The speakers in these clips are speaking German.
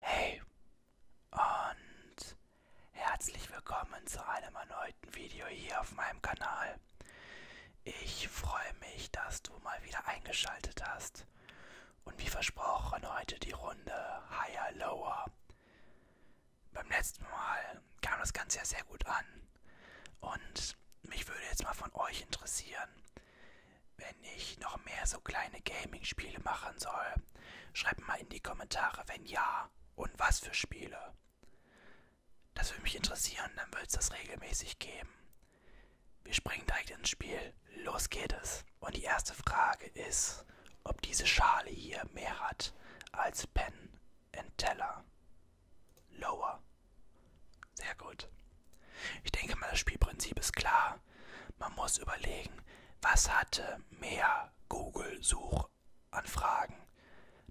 Hey und herzlich willkommen zu einem erneuten Video hier auf meinem Kanal. Ich freue mich, dass du mal wieder eingeschaltet hast. Und wie versprochen, heute die Runde Higher Lower. Beim letzten Mal kam das Ganze ja sehr gut an. Und mich würde jetzt mal von euch interessieren, wenn ich noch mehr so kleine Gaming-Spiele machen soll. Schreibt mal in die Kommentare, wenn ja und was für Spiele. Das würde mich interessieren, dann wird es das regelmäßig geben. Wir springen direkt ins Spiel. Los geht es. Und die erste Frage ist, ob diese Schale hier mehr hat als Pen and Teller. Lower. Sehr gut. Ich denke mal, das Spielprinzip ist klar. Man muss überlegen, was hatte mehr Google-Suchanfragen,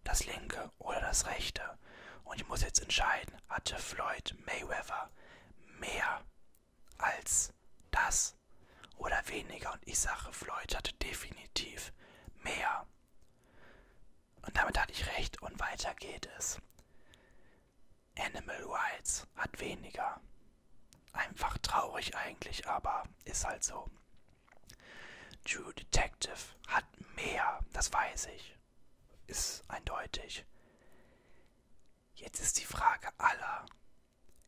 das linke oder das rechte. Und ich muss jetzt entscheiden, hatte Floyd Mayweather mehr als das oder weniger. Und ich sage, Floyd hatte definitiv mehr. Und damit hatte ich recht und weiter geht es. Animal Rights hat weniger. Einfach traurig eigentlich, aber ist halt so. True Detective hat mehr, das weiß ich. Ist eindeutig. Jetzt ist die Frage aller.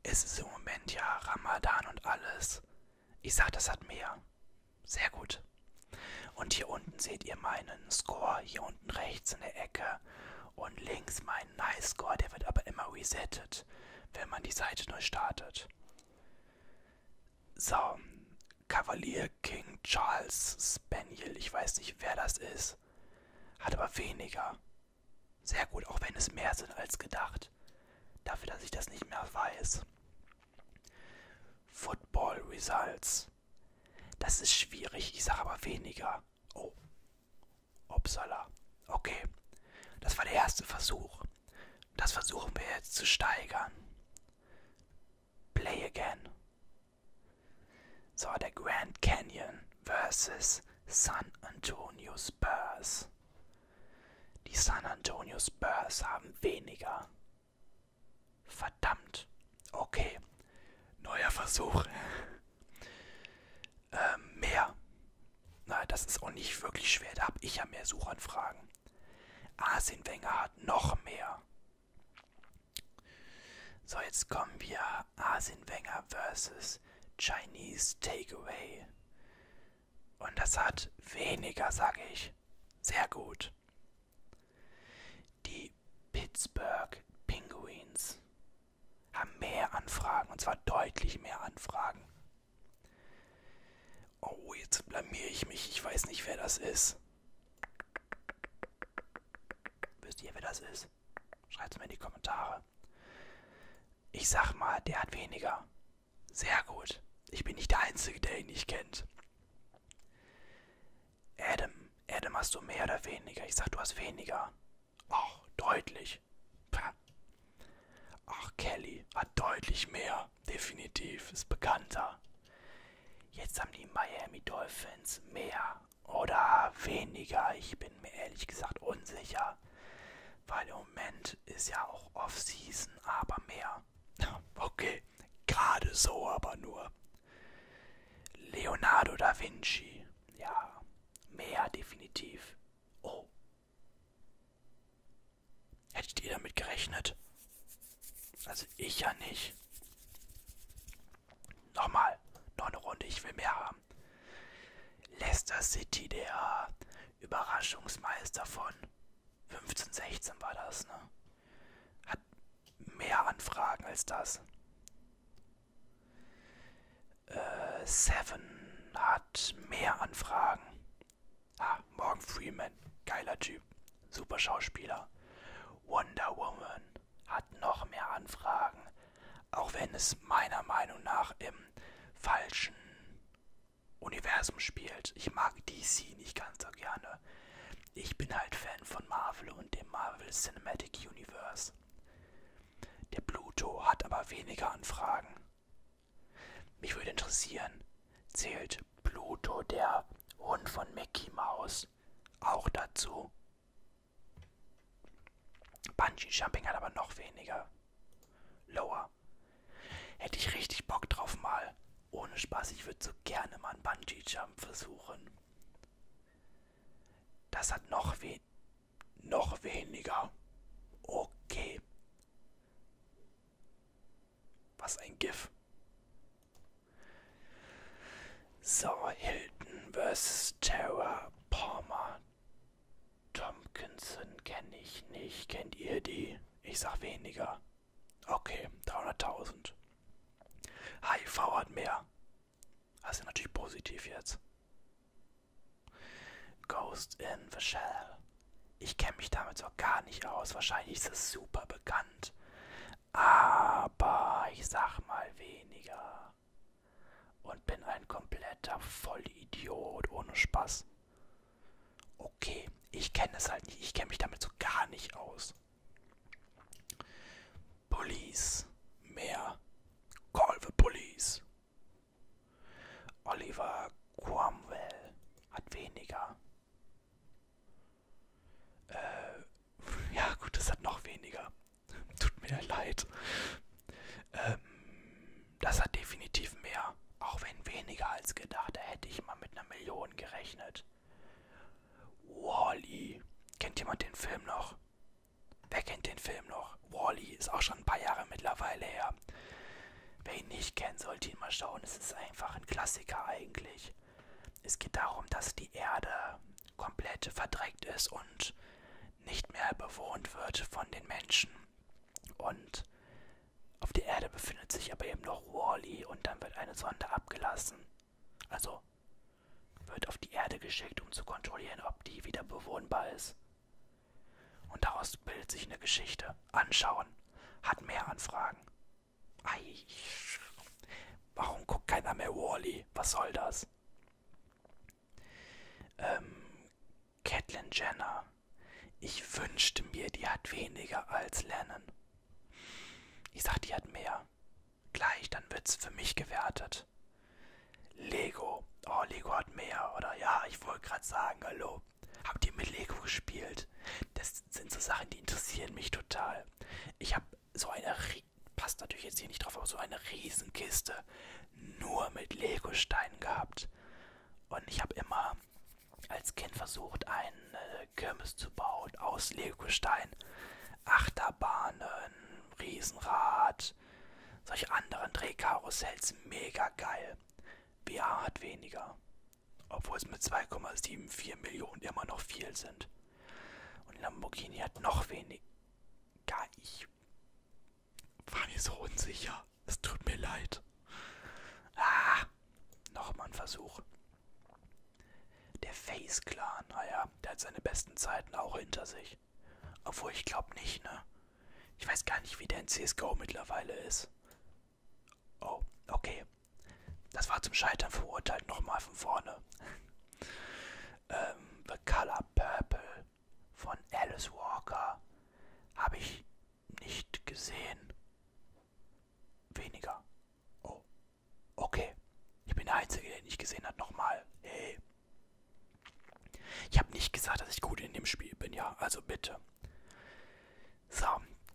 Es ist im Moment ja Ramadan und alles. Ich sag, das hat mehr. Sehr gut. Und hier unten seht ihr meinen Score, hier unten rechts in der Ecke und links meinen Nice Score, der wird aber immer resettet, wenn man die Seite neu startet. So, Kavalier King Charles Spaniel, ich weiß nicht, wer das ist, hat aber weniger. Sehr gut, auch wenn es mehr sind als gedacht. Dafür, dass ich das nicht mehr weiß. Football Results. Das ist schwierig, ich sage aber weniger. Oh. Upsala. Okay. Das war der erste Versuch. Das versuchen wir jetzt zu steigern. Play again. So, der Grand Canyon versus San Antonio Spurs. Die San Antonio Spurs haben weniger. Verdammt. Okay. Neuer Versuch. Ähm, mehr. Na, das ist auch nicht wirklich schwer. Da habe ich ja mehr Suchanfragen. Arsene Wenger hat noch mehr. So, jetzt kommen wir. Arsene Wenger versus Chinese Takeaway. Und das hat weniger, sage ich. Sehr gut. Die Pittsburgh Penguins haben mehr Anfragen, und zwar deutlich mehr Anfragen. Oh, jetzt blamiere ich mich. Ich weiß nicht, wer das ist. Wisst ihr, wer das ist? Schreibt es mir in die Kommentare. Ich sag mal, der hat weniger. Sehr gut. Ich bin nicht der Einzige, der ihn nicht kennt. Adam, Adam, hast du mehr oder weniger? Ich sag, du hast weniger. Ach, deutlich. Pah. Ach, Kelly hat deutlich mehr. Definitiv. Ist bekannter. Jetzt haben die Miami Dolphins mehr oder weniger. Ich bin mir ehrlich gesagt unsicher. Weil im Moment ist ja auch Off-Season, aber mehr. Okay, gerade so aber nur. Leonardo da Vinci ja, mehr definitiv. Oh. Hättet ihr damit gerechnet? Also ich ja nicht. Nochmal, noch eine Runde, ich will mehr haben. Leicester City, der Überraschungsmeister von 1516 war das, ne? Hat mehr Anfragen als das. Äh, Seven hat mehr Anfragen. Ah, Morgan Freeman, geiler Typ, super Schauspieler. Wonder Woman hat noch mehr Anfragen, auch wenn es meiner Meinung nach im falschen Universum spielt. Ich mag DC nicht ganz so gerne. Ich bin halt Fan von Marvel und dem Marvel Cinematic Universe. Der Pluto hat aber weniger Anfragen. Mich würde interessieren, zählt Pluto, der Hund von Mickey Mouse, auch dazu? Bungee Jumping hat aber noch weniger. Lower. Hätte ich richtig Bock drauf mal. Ohne Spaß, ich würde so gerne mal einen Bungee Jump versuchen. Das hat noch, we noch weniger. Okay. Was ein GIF. So, Hilton vs. Terra Palmer. Tompkinson kenne ich nicht. Kennt ihr die? Ich sag weniger. Okay, 300.000. HIV hat mehr. Das ist natürlich positiv jetzt. Ghost in the Shell. Ich kenne mich damit so gar nicht aus. Wahrscheinlich ist es super bekannt. Aber ich sag mal weniger. Und bin ein kompletter Vollidiot ohne Spaß. Okay, ich kenne es halt nicht. Ich kenne mich damit so gar nicht aus. Police. Mehr. Call the Police. Oliver Cromwell hat weniger. Äh, ja gut, das hat noch weniger. Tut mir leid. Ähm, das hat definitiv mehr. Auch wenn weniger als gedacht, da hätte ich mal mit einer Million gerechnet. Wally. -E. Kennt jemand den Film noch? Wer kennt den Film noch? Wally -E ist auch schon ein paar Jahre mittlerweile her. Wer ihn nicht kennt, sollte ihn mal schauen. Es ist einfach ein Klassiker eigentlich. Es geht darum, dass die Erde komplett verdreckt ist und nicht mehr bewohnt wird von den Menschen. Und auf der Erde befindet sich aber eben noch Wally -E und dann wird eine Sonde abgelassen. Also wird auf die Erde geschickt, um zu kontrollieren, ob die wieder bewohnbar ist. Und daraus bildet sich eine Geschichte. Anschauen. Hat mehr Anfragen. Ei. Warum guckt keiner mehr Wally? -E? Was soll das? Ähm, Catelyn Jenner. Ich wünschte mir, die hat weniger als Lennon. Ich sag, die hat mehr weiter. Gleich, dann wird's für mich gewertet. Lego. Oh, Lego hat mehr, oder? Ja, ich wollte gerade sagen, hallo. Habt ihr mit Lego gespielt? Das sind so Sachen, die interessieren mich total. Ich habe so eine, passt natürlich jetzt hier nicht drauf, aber so eine Riesenkiste nur mit Lego-Steinen gehabt. Und ich habe immer als Kind versucht, einen äh, Kirmes zu bauen aus Lego-Steinen. Achterbahnen, Riesenrad, solche anderen Drehkarussells, mega geil. VR hat weniger, obwohl es mit 2,74 Millionen immer noch viel sind. Und Lamborghini hat noch weniger. Ich war mir so unsicher. Es tut mir leid. Ah, nochmal ein Versuch. Der Face Clan, naja, der hat seine besten Zeiten auch hinter sich. Obwohl ich glaube nicht, ne? Ich weiß gar nicht, wie der in CSGO mittlerweile ist. Oh, okay. Das war zum Scheitern verurteilt, nochmal von vorne. ähm, The Color Purple von Alice Walker habe ich nicht gesehen. Weniger. Oh, Okay. Ich bin der Einzige, der ihn nicht gesehen hat. Nochmal. Hey. Ich habe nicht gesagt, dass ich gut in dem Spiel bin, ja. Also bitte. So,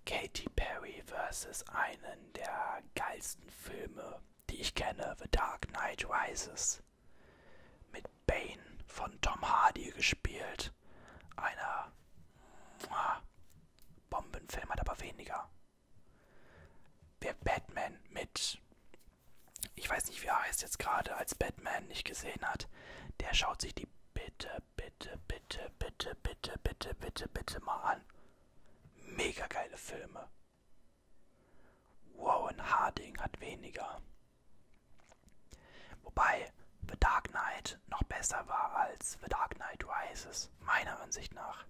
Katy Perry versus einen der geilsten Filme, die ich kenne, The Dark Knight Rises. Mit Bane von Tom Hardy gespielt. Einer Bombenfilm hat aber weniger Wer Batman mit, ich weiß nicht, wie er heißt jetzt gerade, als Batman nicht gesehen hat, der schaut sich die bitte, bitte, bitte, bitte, bitte, bitte, bitte, bitte mal an. Mega geile Filme. Warren Harding hat weniger. Wobei The Dark Knight noch besser war als The Dark Knight Rises, meiner Ansicht nach.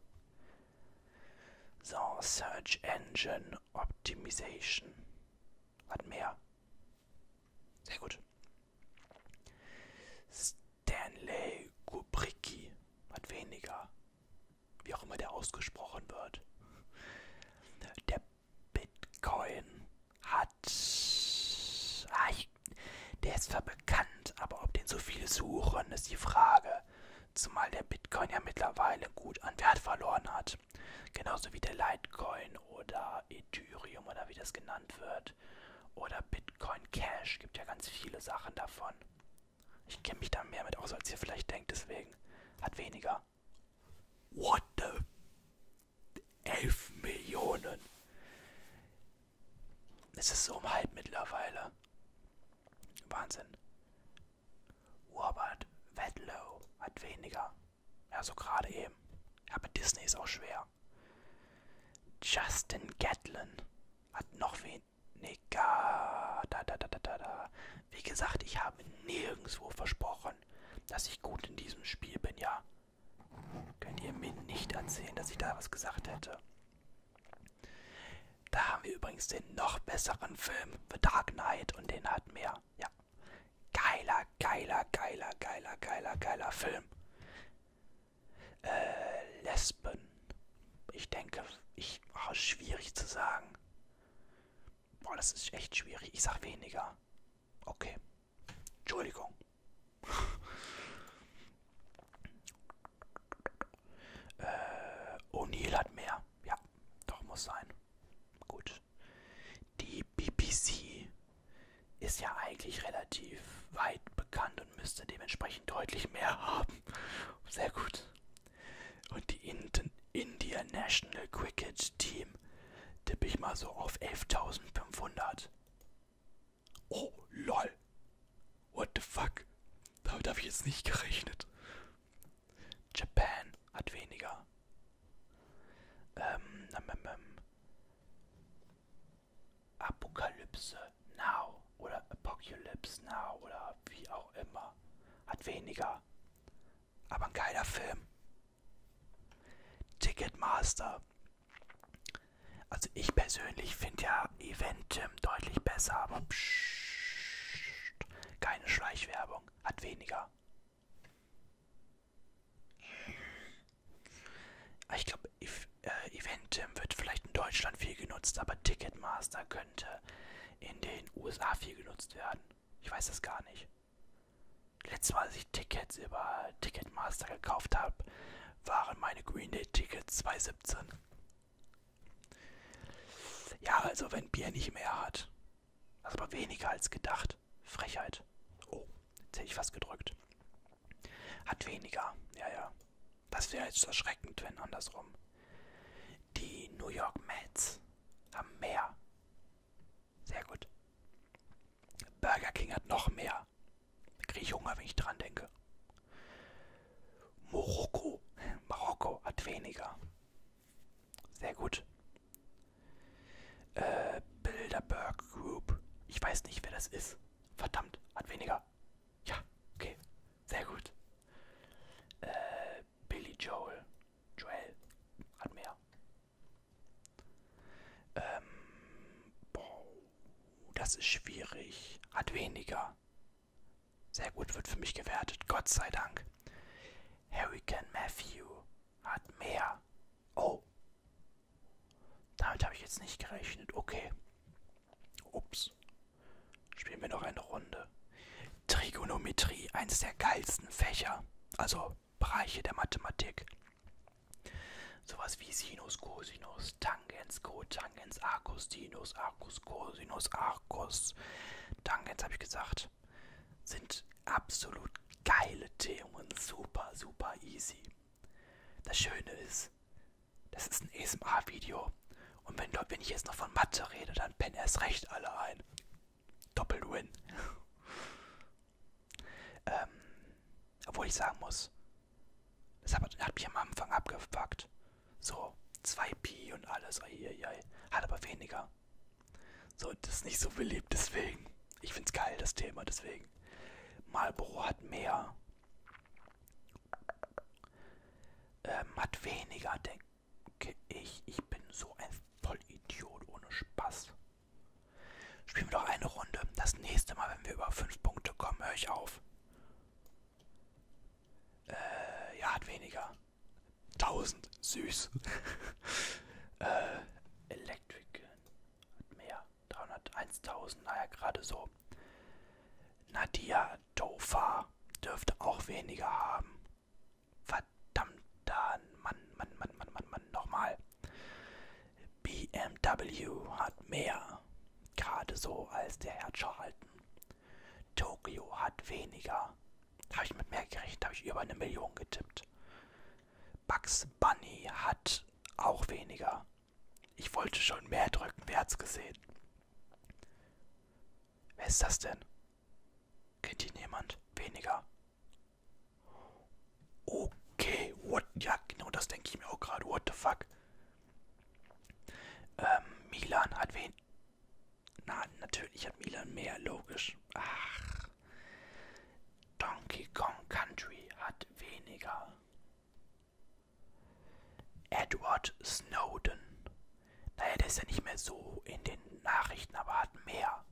So, Search Engine Optimization. Hat mehr. Sehr gut. Stanley Kubricki hat weniger. Wie auch immer der ausgesprochen wird. Der Bitcoin hat. Ah, ich, der ist zwar bekannt, aber ob den so viele suchen, ist die Frage zumal der Bitcoin ja mittlerweile gut an Wert verloren hat. Genauso wie der Litecoin oder Ethereum oder wie das genannt wird. Oder Bitcoin Cash, gibt ja ganz viele Sachen davon. Ich kenne mich da mehr mit aus, als ihr vielleicht denkt, deswegen hat weniger. What the? 11 Millionen. Es ist so um halb mittlerweile. Wahnsinn. Robert Wedlow hat weniger. Ja, so gerade eben. Ja, aber Disney ist auch schwer. Justin Gatlin hat noch weniger. Da, da, da, da, da. Wie gesagt, ich habe nirgendwo versprochen, dass ich gut in diesem Spiel bin, ja. Könnt ihr mir nicht erzählen, dass ich da was gesagt hätte. Da haben wir übrigens den noch besseren Film, The Dark Knight, und den hat mehr. Ja. Geiler, geiler, geiler, geiler, geiler, geiler Film. Äh, Lesben. Ich denke, ich. Oh, schwierig zu sagen. Boah, das ist echt schwierig. Ich sag weniger. Okay. Entschuldigung. Äh, O'Neill hat mehr. Ja, doch muss sein. Gut. Die BBC ist ja eigentlich relativ weit bekannt und müsste dementsprechend deutlich mehr haben. Sehr gut. Und die Indian, India National Cricket Team tippe ich mal so auf 11.500. Oh, lol. What the fuck? Damit habe ich jetzt nicht gerechnet. Japan hat weniger. Ähm, ähm, ähm. Apokalypse Now oder Apocalypse Now oder wie auch immer. Hat weniger. Aber ein geiler Film. Ticketmaster. Also ich persönlich finde ja war Eventim deutlich besser, aber pssst, keine Schleichwerbung, hat weniger. Ich glaube, äh, Eventim wird vielleicht in Deutschland viel genutzt, aber Ticketmaster könnte in den USA viel genutzt werden. Ich weiß das gar nicht. Letztes Mal, als ich Tickets über Ticketmaster gekauft habe, waren meine Green Day Tickets 2,17. Ja, also wenn Bier nicht mehr hat. Also aber weniger als gedacht. Frechheit. Oh, jetzt hätte ich was gedrückt. Hat weniger. Ja, ja. Das wäre jetzt erschreckend, wenn andersrum. Die New York Mets haben mehr. Sehr gut. Burger King hat noch mehr. Da kriege ich Hunger, wenn ich dran denke. Marokko. Marokko hat weniger. Sehr gut. Äh, Bilderberg Group. Ich weiß nicht, wer das ist. Verdammt, hat weniger. Ja, okay. Sehr gut. Äh, Billy Joel. Joel hat mehr. Ähm, boah, das ist schwierig. Hat weniger. Sehr gut wird für mich gewertet, Gott sei Dank. Hurricane Matthew hat mehr. Oh. Damit habe ich jetzt nicht gerechnet. Okay. Ups. Spielen wir noch eine Runde. Trigonometrie, eines der geilsten Fächer. Also Bereiche der Mathematik. Sowas wie Sinus, Cosinus, Tan. Tangens, Cotangens, Arcus, Sinus, Arcus, Cosinus, Arcus. Tangens, habe ich gesagt, sind absolut geile Themen. Super, super easy. Das Schöne ist, das ist ein ESMA-Video. Und wenn, wenn ich jetzt noch von Mathe rede, dann pennen erst recht alle ein. Doppel-Win. ähm, obwohl ich sagen muss, das hat, hat mich am Anfang abgepackt. So, 2 Pi und alles. Eieiei. Hat aber weniger. So, das ist nicht so beliebt, deswegen. Ich find's geil, das Thema, deswegen. Marlboro hat mehr. Ähm, hat weniger, denke ich. Ich bin so ein Vollidiot ohne Spaß. Spielen wir doch eine Runde. Das nächste Mal, wenn wir über 5 Punkte kommen, höre ich auf. Äh, ja, hat weniger. 1000. Süß. äh, Electric Gun. Hat mehr. 300. 1000. Naja, gerade so. Nadia Dofa dürfte auch weniger haben. Verdammter Mann, Mann, Mann, Mann, Mann, Mann. Nochmal. BMW hat mehr. Gerade so als der Herr Charlton. Tokio hat weniger. Habe ich mit mehr gerechnet, habe ich über eine Million getippt. Bugs Bunny hat auch weniger. Ich wollte schon mehr drücken, wer hat's gesehen? Wer ist das denn? Kennt ihn jemand? Weniger. Okay, what? Ja, genau das denke ich mir auch gerade. What the fuck? Ähm, Milan hat wen? Na, natürlich hat Milan mehr, logisch. Ach. Donkey Kong Country hat weniger. Edward Snowden. Naja, der ist ja nicht mehr so in den Nachrichten, aber hat mehr.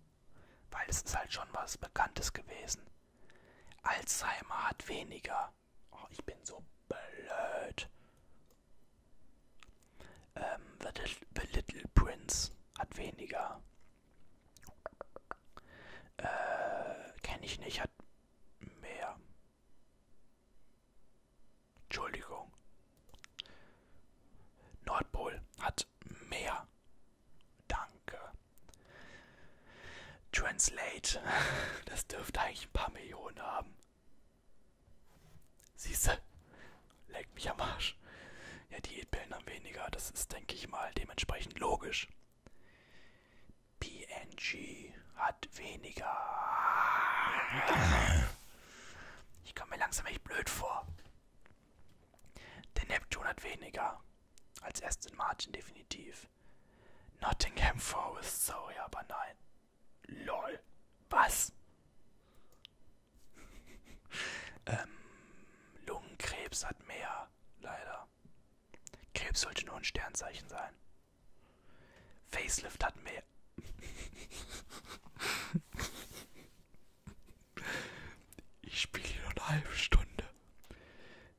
Weil es ist halt schon was Bekanntes gewesen. Alzheimer hat weniger. Oh, ich bin so blöd. Ähm, the, little, the Little Prince hat weniger. Äh, kenne ich nicht, hat mehr. Entschuldigung. Nordpol hat mehr. Danke. Translate. Das dürfte eigentlich ein paar Millionen haben. Siehste, leckt mich am Arsch. Ja, Diätpillen haben weniger. Das ist, denke ich mal, dementsprechend logisch. PNG hat weniger. Ich komme mir langsam echt blöd vor. Der Neptun hat weniger. Als Aston Martin definitiv. Nottingham Forest, sorry, aber nein. LOL. Was? ähm, Lungenkrebs hat mehr, leider. Krebs sollte nur ein Sternzeichen sein. Facelift hat mehr. ich spiele nur eine halbe Stunde.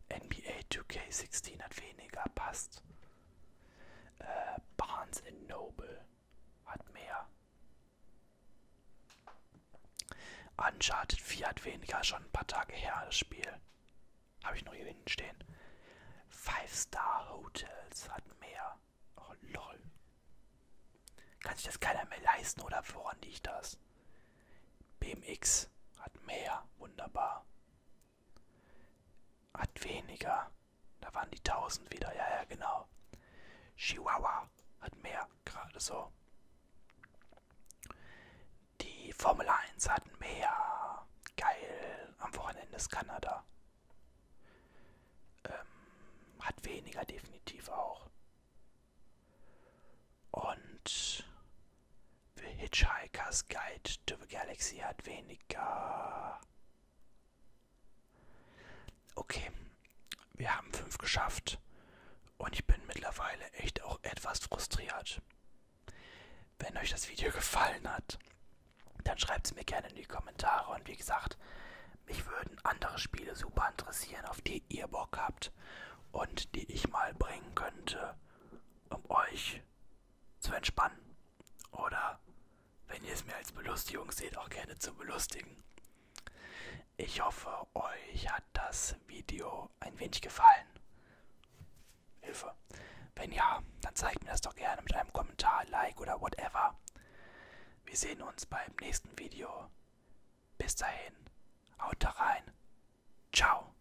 NBA 2K16 hat weniger, passt. Äh, Barnes Noble hat mehr. Uncharted 4 hat weniger, schon ein paar Tage her das Spiel. Habe ich noch hier hinten stehen. Five Star Hotels hat mehr. Oh lol. Kann sich das keiner mehr leisten oder woran liegt das? BMX hat mehr. Wunderbar. Hat weniger. Da waren die 1000 wieder. Ja, ja, genau. Chihuahua hat mehr, gerade so. Die Formel 1 hat mehr. Geil. Am Wochenende ist Kanada. Ähm, hat weniger, definitiv auch. Und The Hitchhiker's Guide to the Galaxy hat weniger. Okay, wir haben fünf geschafft und ich bin mittlerweile echt auch etwas frustriert. Wenn euch das Video gefallen hat, dann schreibt es mir gerne in die Kommentare und wie gesagt, mich würden andere Spiele super interessieren, auf die ihr Bock habt und die ich mal bringen könnte, um euch zu entspannen. Oder wenn ihr es mir als Belustigung seht, auch gerne zu belustigen. Ich hoffe, euch hat das Video ein wenig gefallen. Hilfe. Wenn ja, dann zeigt mir das doch gerne mit einem Kommentar, Like oder whatever. Wir sehen uns beim nächsten Video. Bis dahin, haut da rein. Ciao.